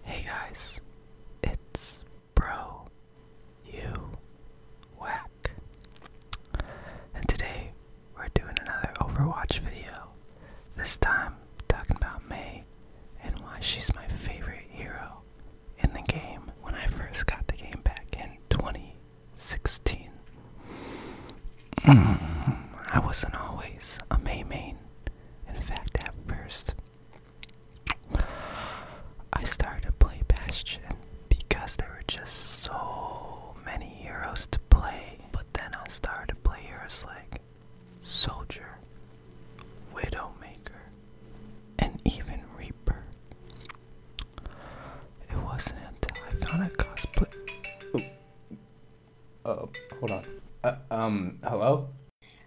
Hey guys, it's Bro You Whack, and today we're doing another Overwatch video. This time talking about May and why she's my favorite hero in the game when I first got the game back in 2016. I wasn't always a May main. In fact, at first, I started to play Bastion because there were just so many heroes to play. But then I started to play heroes like Soldier, Widowmaker, and even Reaper. It wasn't until I found a cosplay. Uh, hold on. Uh, um, hello?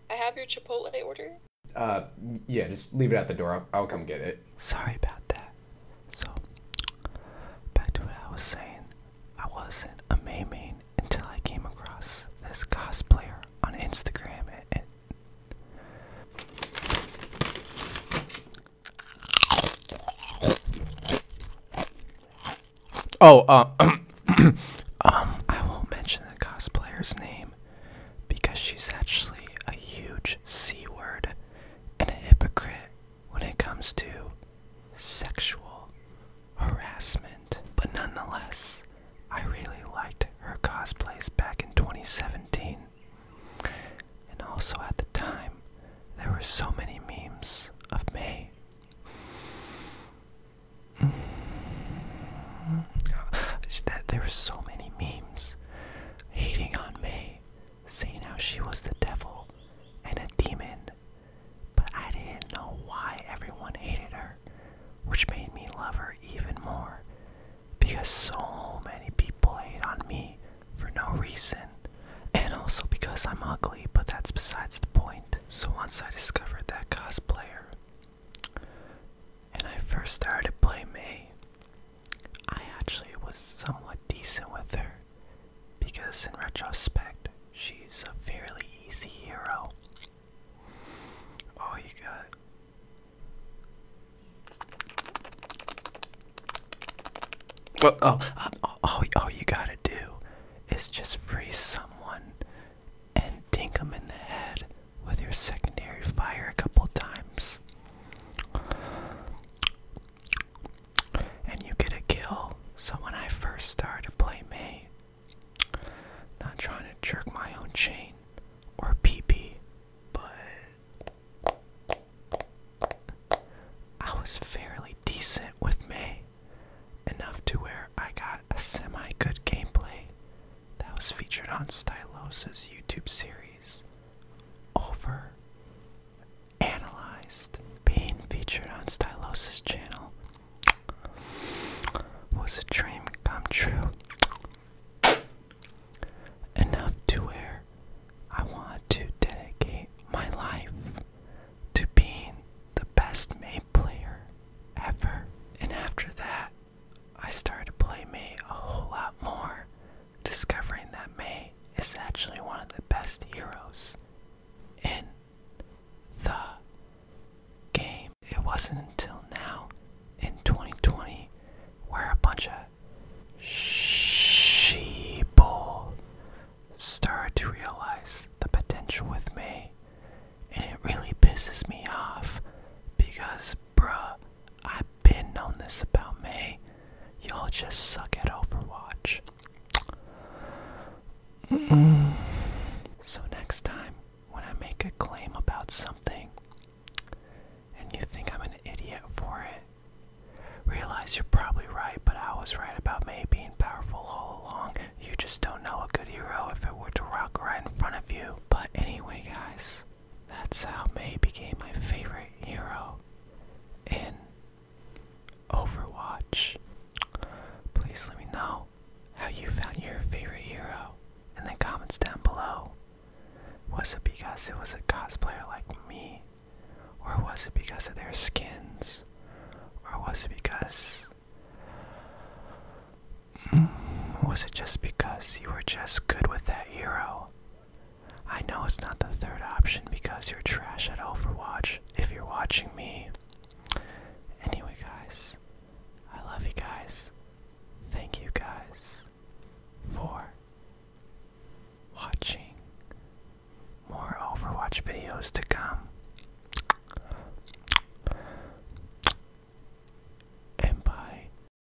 I have your Chipotle order. Uh, yeah, just leave it at the door. I'll, come get it. Sorry about that. So, back to what I was saying. I wasn't a main until I came across this cosplayer on Instagram. and Oh, uh, um, I won't mention the cosplayer's name because she's actually a huge C word and a hypocrite when it comes to sexual harassment. But nonetheless, I really liked her cosplays back in 2017. And also at the time, there were so many memes of May. Mm. That there were so many memes hating on May, saying how she was the devil and a demon. But I didn't know why everyone hated her, which made me love her even more because so many people hate on me for no reason. And also because I'm ugly, but that's besides the point. So once I discovered that cosplayer and I first started playing May, I actually was somewhat decent with her because in retrospect, she's a fairly easy hero. Oh, you got well, oh, all, oh, uh, oh, oh, you gotta do is just freeze someone and dink them in the head with your secondary fire a couple times. And you get a kill. So when I first started playing me. Not trying to jerk my own chain or pee pee, but I was fairly decent with May, enough to where I got a semi good gameplay that was featured on Stylos' YouTube series over analyzed being featured on Stylos' channel was a dream come true. Enough to where I want to dedicate my life to being the best May player ever. And after that, I started to play May a whole lot more, discovering that May is actually one of the best heroes in the game. It wasn't until now in 2020 where a bunch of sheeple started to realize the potential with me. And it really pisses me off because, bruh, I've been known this about me. Y'all just suck at Overwatch. Mm. So, next time when I make a claim about something and you think I'm an idiot for it, realize you're probably right, but I was right about May being powerful all along. You just don't know a good hero if it were to rock right in front of you. But anyway, guys, that's how May became my favorite hero And. Overwatch. Please let me know how you found your favorite hero in the comments down below. Was it because it was a cosplayer like me? Or was it because of their skins? Or was it because. Mm, was it just because you were just good with that hero? I know it's not the third option because you're trash at Overwatch if you're watching me. Anyway, guys, I love you guys. Thank you guys for watching. More Overwatch videos to come. And bye.